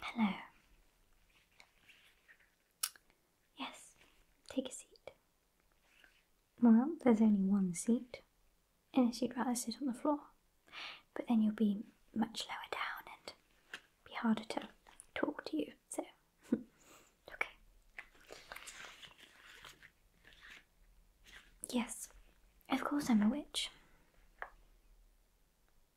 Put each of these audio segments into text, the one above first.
Hello. Yes, take a seat. Well, there's only one seat, unless you'd rather sit on the floor. But then you'll be much lower down and be harder to talk to you, so. okay. Yes, of course I'm a witch.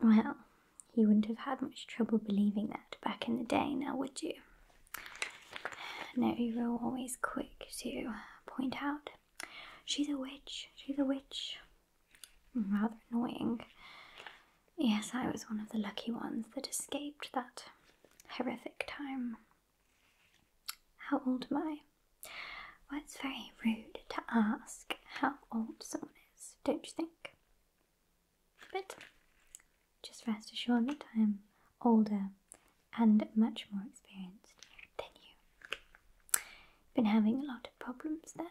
Well, he wouldn't have had much trouble believing that back in the day, now would you? No, you were always quick to point out she's a witch, she's a witch. Rather annoying. Yes, I was one of the lucky ones that escaped that horrific time. How old am I? Well, it's very rude to ask how old someone is, don't you think? But just rest assured that I'm older and much more experienced than you. Been having a lot of problems then,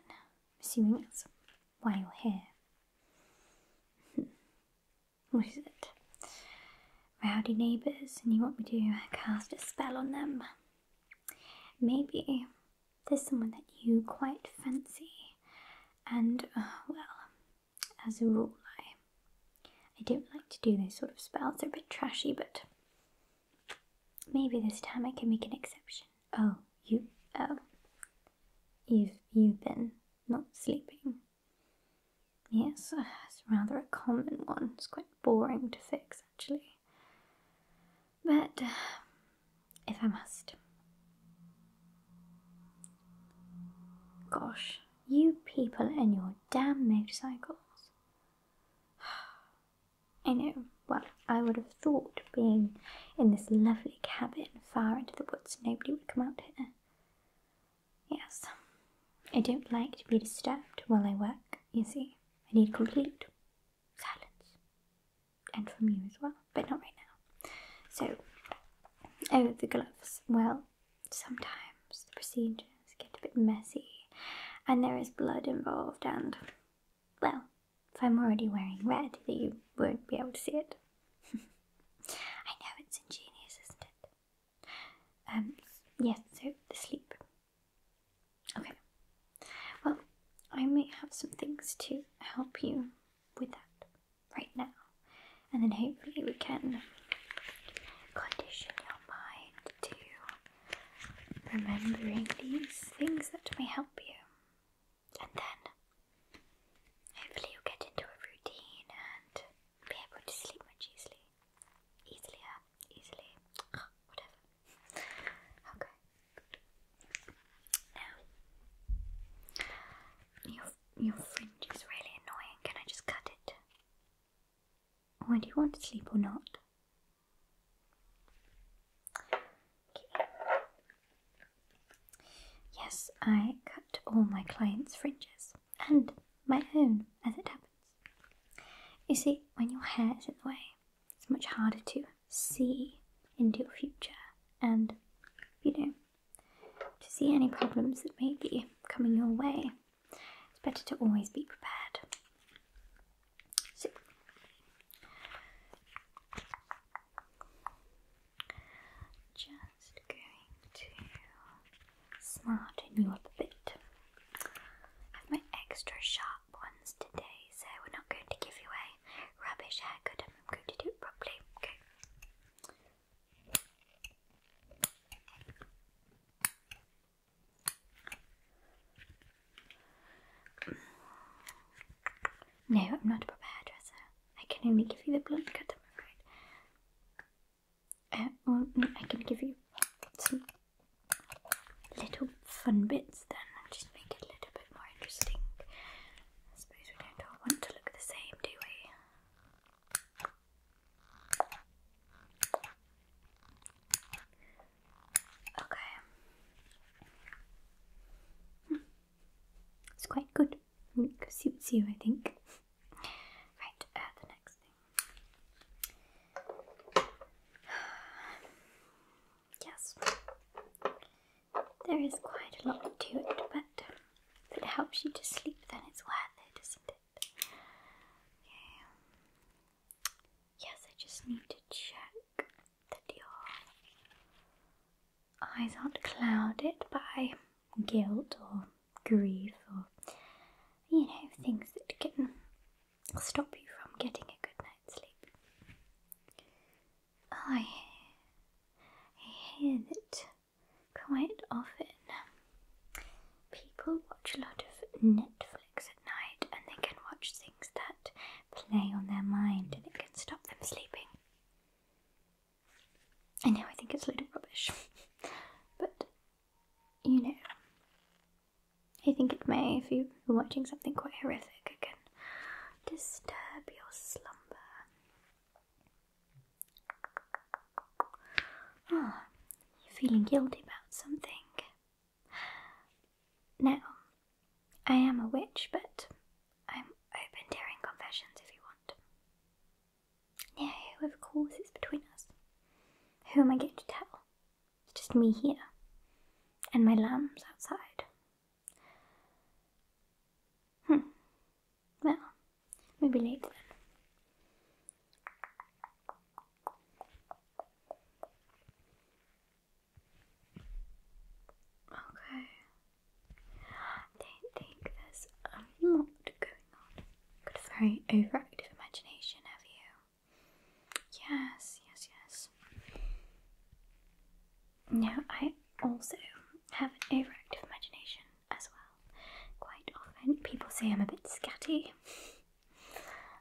assuming that's why you're here. What is it? Rowdy neighbours, and you want me to cast a spell on them? Maybe there's someone that you quite fancy, and uh, well, as a rule, I, I don't like to do those sort of spells. They're a bit trashy, but maybe this time I can make an exception. Oh, you, oh, you've you've been not sleeping. Yes, uh, it's rather a common one. It's quite boring to fix, actually. But uh, if I must. Gosh, you people and your damn motorcycles. I know, well, I would have thought being in this lovely cabin far into the woods nobody would come out here. Yes, I don't like to be disturbed while I work, you see. I need complete silence. And from you as well, but not right now. So, oh, the gloves. Well, sometimes the procedures get a bit messy and there is blood involved, and, well, if I'm already wearing red, you won't be able to see it. I know it's ingenious, isn't it? Um, yes, so the sleep. Okay. Well, I may have some things to help you with that right now, and then hopefully we can condition your mind to remembering these things that may help you, and then hopefully you'll get into a routine and be able to sleep much easily. Easilier, easily, whatever. Okay. Now, your, your fringe is really annoying. Can I just cut it? Or do you want to sleep or not? Yes, I cut all my clients' fringes and my own as it happens. You see, when your hair is in the way, it's much harder to see into your future and, you know, to see any problems that may be coming your way. It's better to always be prepared. So, just going to smarten you up a bit. I have my extra sharp ones today, so we're not going to give you a rubbish haircut. I'm going to do it properly. No, I'm not a proper hairdresser. I can only give you the blunt cut, I'm afraid. Uh, mm, I can give you some little fun bits then, and just make it a little bit more interesting. I suppose we don't all want to look the same, do we? Okay. Hmm. It's quite good suits you, I think. Right, uh, the next thing. Yes, there is quite a lot to it, but if it helps you to sleep, then it's worth it, isn't it? Okay. Yes, I just need to check that you're eyes aren't clouded by guilt or grief or, you know, things that can stop you from getting a good night's sleep. I, I hear that quite often people watch a lot of Netflix at night and they can watch things that play on their mind and it can stop them sleeping. I know I think it's a load of rubbish, but you know, I think it may, if you're watching something quite horrific, it can disturb your slumber. Ah, you're feeling guilty about something. Now, I am a witch, but I'm open daring confessions if you want. No, of course it's between us. Who am I going to tell? It's just me here. And my lambs outside. Hmm. Well, maybe later Okay. I don't think there's a lot going on. Got a very overactive imagination, have you? Yes, yes, yes. Now, I also have an overactive imagination as well. Quite often, people say I'm a bit scatty.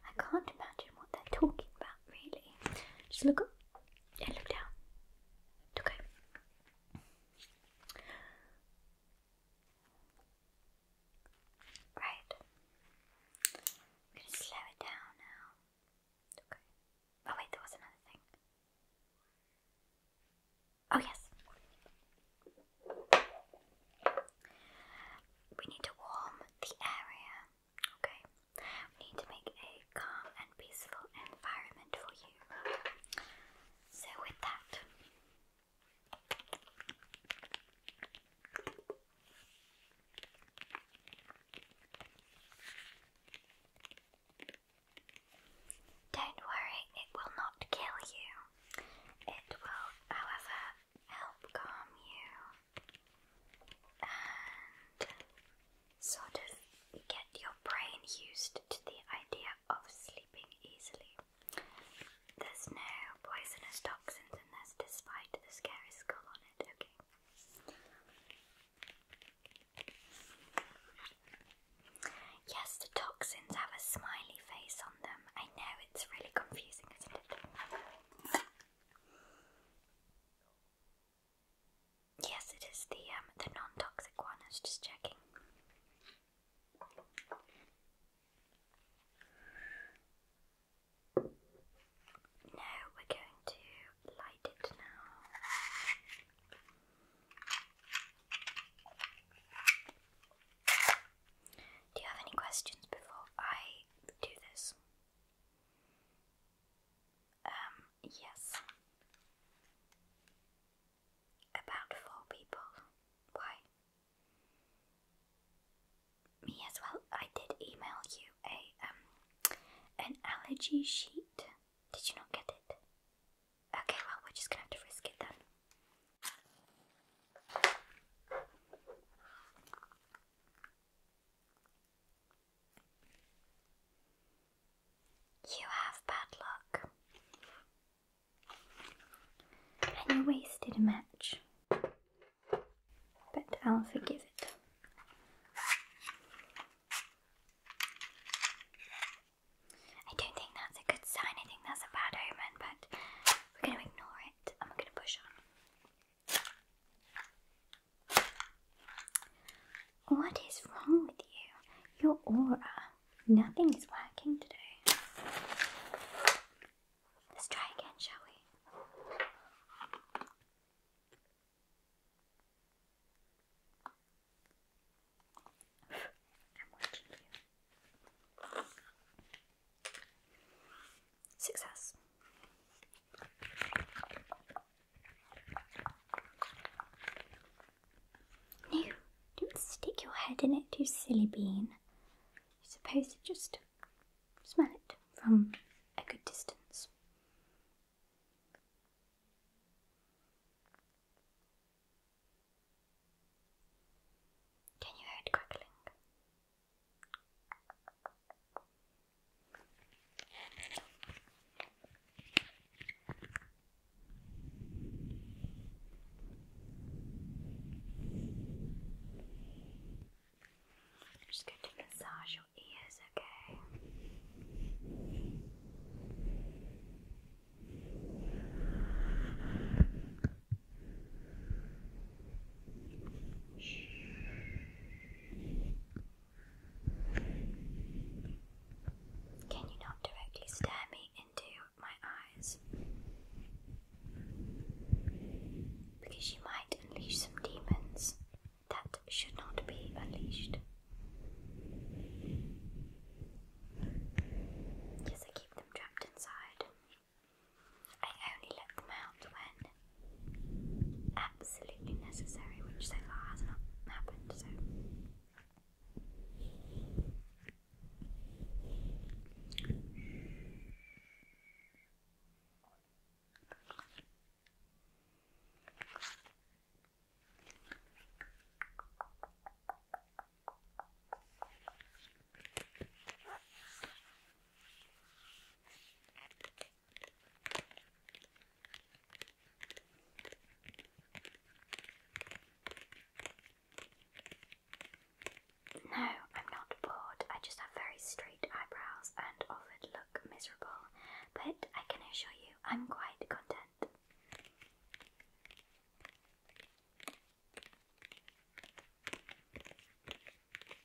I can't imagine what they're talking about, really. Just look up and look down. Okay. Right. I'm gonna slow it down now. Okay. Oh wait, there was another thing. Oh yes. We need to warm the area. Okay. We need to make a calm and peaceful environment for you. So, with that, don't worry, it will not kill you. It will, however, help calm you and sort of get your brain used to the idea of sleeping easily. There's no poisonous toxins in this, despite the scary skull on it, okay? Yes, the toxins have a smiley face on them. I know it's really confusing, isn't it? Yes, it is the um, the non-toxic one. I was just checking. Now we're going to light it now. Do you have any questions before I do this? Um, yes. About four people. Why? Me as well. I did email you a um an allergy sheet. Did you not get it? Okay, well we just gonna have to risk it then. You have bad luck. And you wasted a match. But I'll forgive it. I don't think that's a good sign, I think that's a bad omen, but we're gonna ignore it and we gonna push on. What is wrong with you? Your aura. Nothing is working today. Let's try again, shall we? I'm watching Success. No, don't stick your head in it, you silly bean. You're supposed to just smell it from a good distance. Can you hear it crackling? I'm just going to massage your ears, okay? Shh. Can you not directly stare me into my eyes? Because you might unleash some demons that should not be unleashed. Yes, I keep them trapped inside. I only let them out when absolutely necessary, which so far has not happened, so. No, I'm not bored. I just have very straight eyebrows and often look miserable, but I can assure you I'm quite content.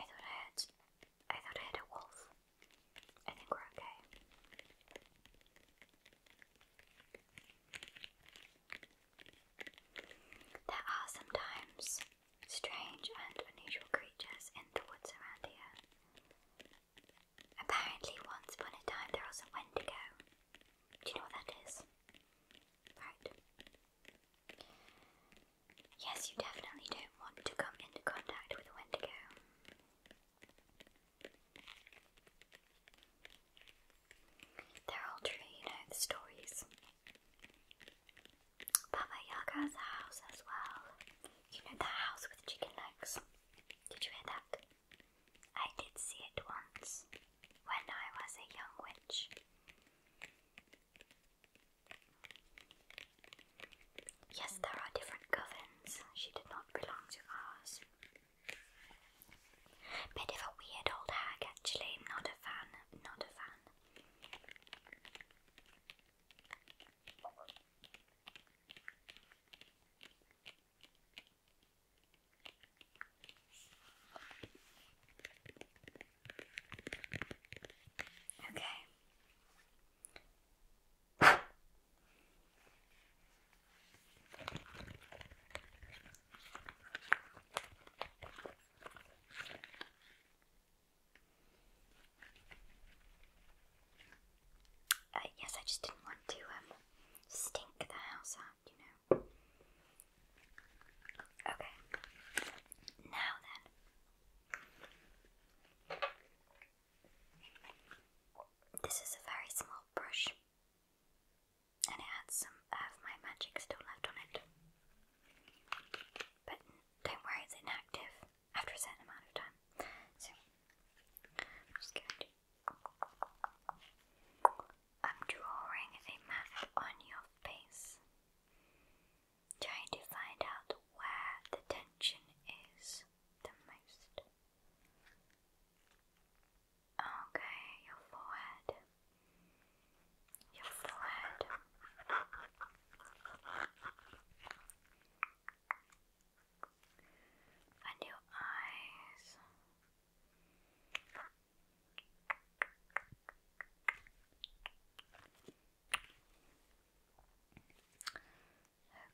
I thought I had I thought I had a wolf. I think we're okay. There are sometimes strange and unusual creatures in the woods around here. Apparently once upon a time there was a Wendigo. Do you know what that is? Right. Yes, you definitely don't want to come into contact with Wendigo. They're all true, you know, the stories. Baba Yaga's house as well. You know that house with chicken legs? Did you hear that? I did see it once when I was a young witch. Yes, there are different covens. She did not belong to us. Bit of a weird old hag, actually. Not a fan. Not a fan. Okay. Uh, yes, I just didn't want to um, stink the house that, you Okay. Now then. This is a very small brush. And it had some of my magic still left on it. But don't worry, it's inactive after a certain amount of time. So, I'm I'm drawing a map on your face, trying to find out where the tension is the most. Okay, your forehead. Your forehead. And your eyes.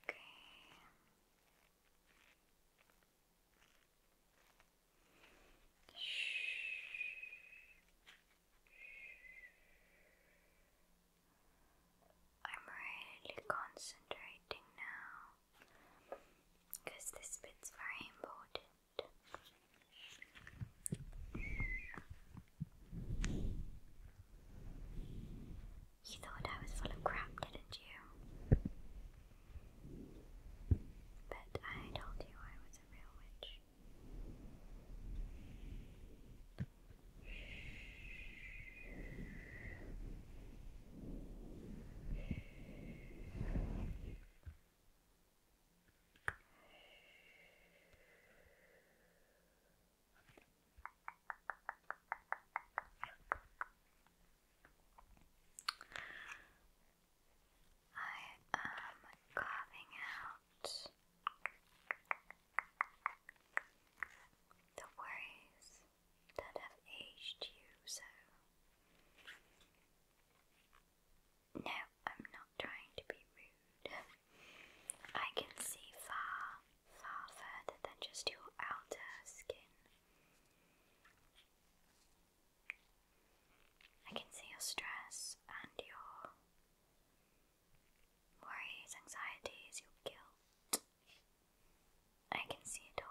Okay. Shh. I'm really concentrating now because this bit's very important. You thought I was full of crap, didn't you? But I told you I was a real witch. I am carving out the worries that have aged you so. No, I'm not trying to be rude. I can see far, far further than just your outer skin. I can see your stress and your worries, anxieties, your guilt. I can see it all.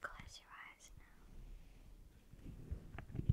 Close your eyes now. Close.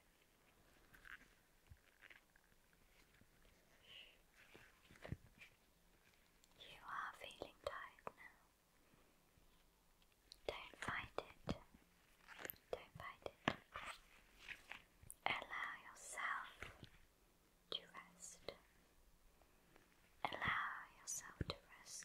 You are feeling tired now. Don't fight it. Don't fight it. Allow yourself to rest. Allow yourself to rest.